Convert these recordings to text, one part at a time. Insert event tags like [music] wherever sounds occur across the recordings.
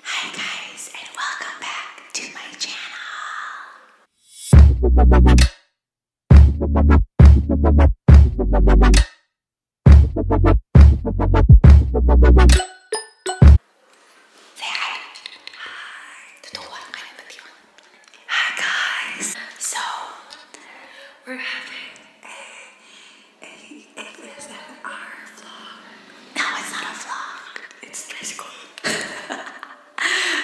Hi guys and welcome back to my channel. Say hi. Hi. Hi guys. So we're having a it is our No, it's not a vlog. It's tricycle. [laughs]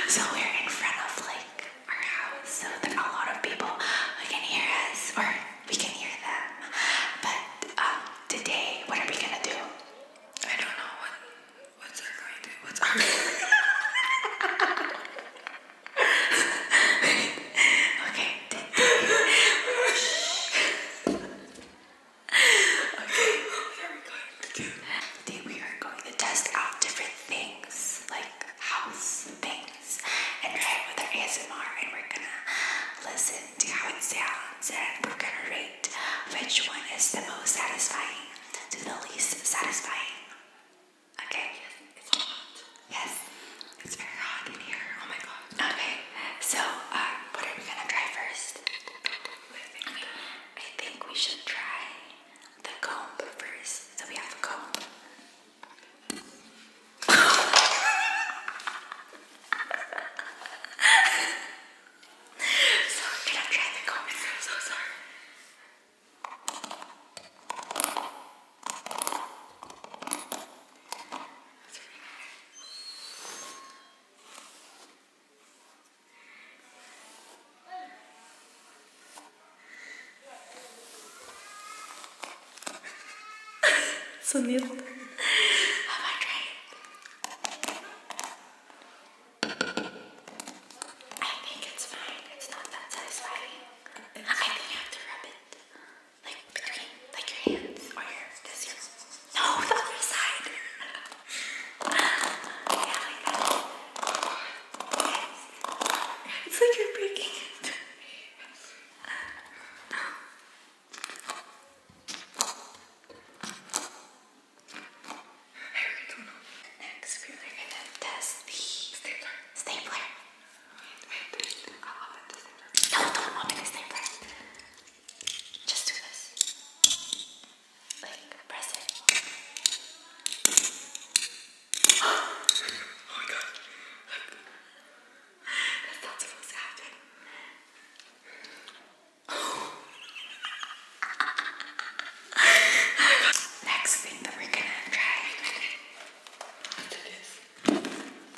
so we're in front of like our house, so there a lot of people who can hear us, or we can hear them. But um, today, what are we gonna do? I don't know what what's our going to do? what's our going [laughs] okay. Today, [laughs] okay, Today we are going to test out different things, like house things, and try with our ASMR. And we're gonna listen to how it sounds, and we're gonna rate which one is the most satisfying to the least satisfying. Okay. Yes, it's hot. Yes, it's very hot in here. Oh my god. Okay, so uh, what are we gonna try first? I think we should try the comb first. So we have a comb. [laughs] so i to try the comb. I'm so sorry so neat. Have I tried? I think it's fine. It's not that satisfying. It's I think you have to rub it like between like your hands or your this. No, the other side. It's like you're breaking it. Next, we're gonna test the stapler. Stapler. No, the stapler. Just do this. Like, press it. [gasps] oh my god. [laughs] That's not supposed to happen. [laughs] Next thing that we're gonna try. After this.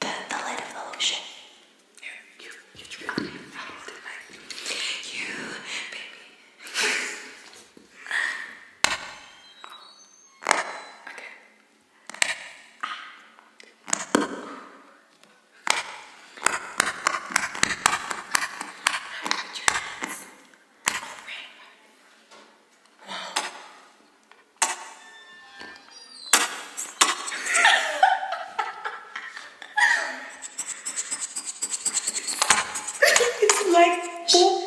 the, the lid of the ocean. You, you, you tripped me out, didn't You, baby. okay. Wow it's like oh.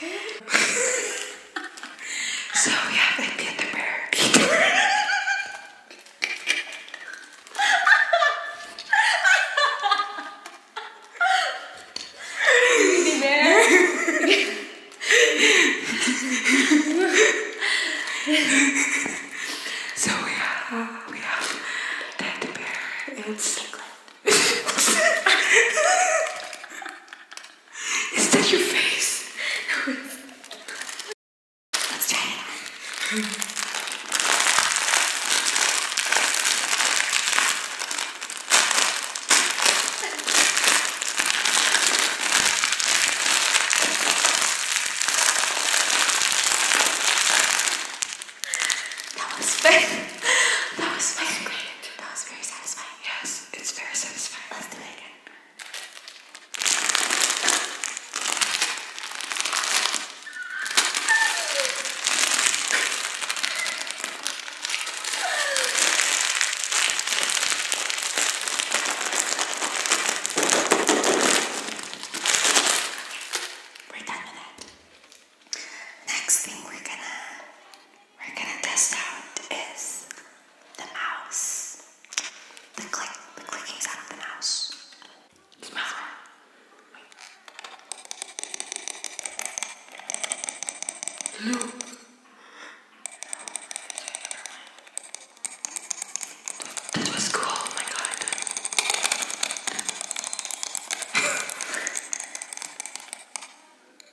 [laughs] so yeah, they did the parakeet. [laughs] so we have, we have Teddy Bear and Slicklet. Is that your face? that was fake. that was fake it. That was very satisfying. Yes, it's very satisfying. Let's do it again. We're done with that. Next thing we're gonna we're gonna test out is the mouse. The click, the clicking sound of the mouse. Smell it. That was cool, oh my god. [laughs]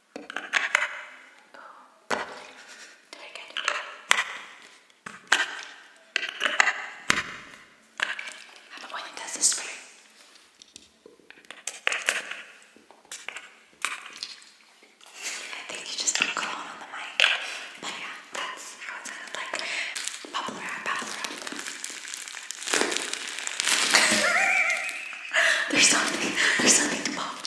Oh, the one does this for I think you just put on the mic. But yeah, that's how it sounded like. Popular at there's something, there's something to pop.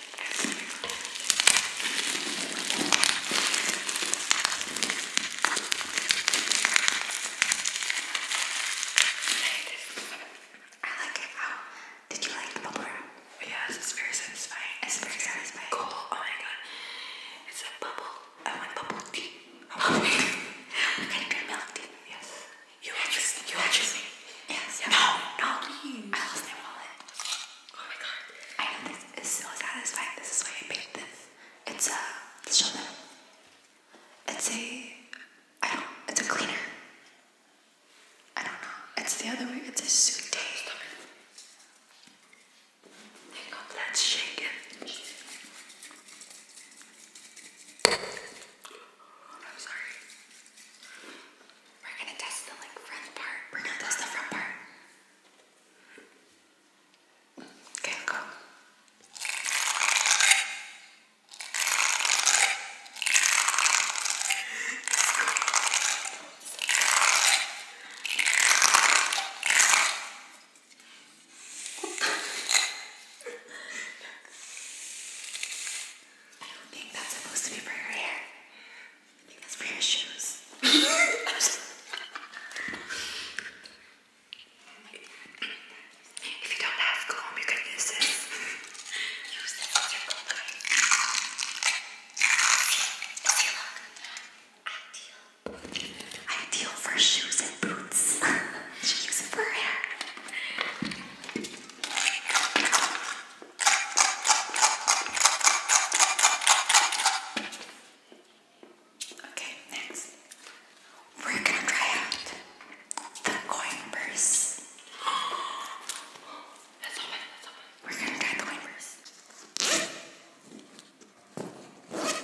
I like it. How did you like the bubble wrap? Yes, it's very satisfying. It's very satisfying. Cool. Oh my god. It's a bubble. I want bubble tea. [laughs] I want tea. Can you do milk tea? Yes. You will just, you will just. Yes. yes. No, no. Please. I lost my wallet. Oh my god. I know this is so satisfying. This is why I made this. It's a, let's show them. It's a, I don't, it's a cleaner. I don't know. It's the other way. It's a suit day. Hang on, let's shake it. I'm sorry. We're gonna test the like front part. We're gonna test the front part. Okay, go. [laughs] I don't think that's supposed to be for your hair. I think that's for your shoes. if you don't have comb, you can use this. use this as your Ideal. for shoes and boots. [laughs] she uses for hair. Okay, next. We're gonna try out the coin purse. That's all right, that's all right. We're gonna try the coin purse. Okay. Where's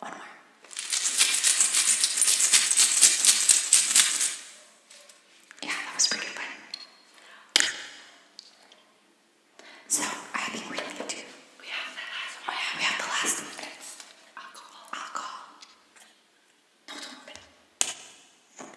One more. Yeah, that was pretty fun. So I have that last one. Oh, we have the last one. alcohol. Alcohol. No, don't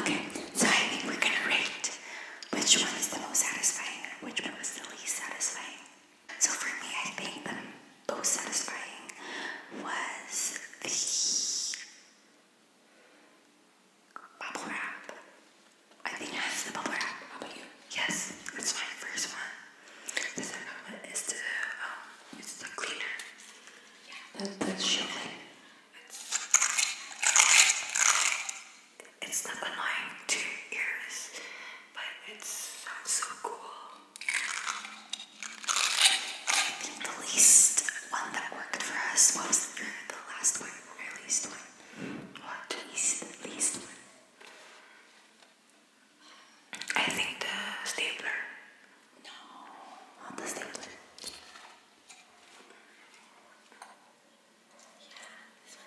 Okay, so I think we're gonna rate which one is the most satisfying and which one was the least satisfying. So for me, I think the most satisfying was the bubble wrap. I think that's the bubble wrap. How about you? Yes, that's my first one. The second is the um, it's the cleaner. That, that's shocking. It's not annoying to ears, but it so cool. I think the least one that worked for us was the last one, or least one. What? Least, least one. I think the stapler no, on the stapler. Yeah, this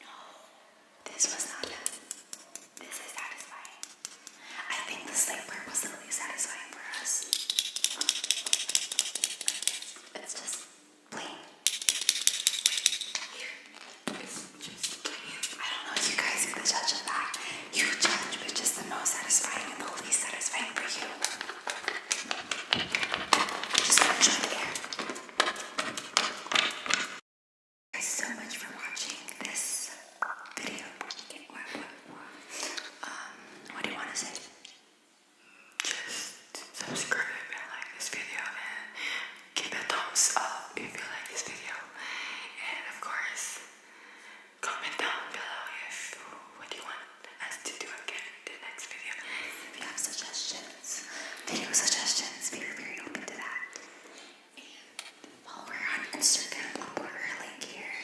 No, this was not that. This is satisfying. I think the stapler was the least satisfying for us. It's just plain. I don't know you guys are the judge of that. You judge which is the most satisfying and the least satisfying for you. Just watch on Thank you guys so much for watching this video. um, what do you want to say? Just subscribe and like this video give a thumbs up if you like this video and of course comment down below if what you want us to do again in the next video. If you have suggestions, video suggestions, we very open to that. And while we're on Instagram, I'll put her link here.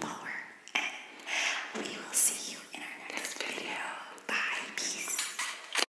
Power. And we will see you in our next video. Bye. Peace.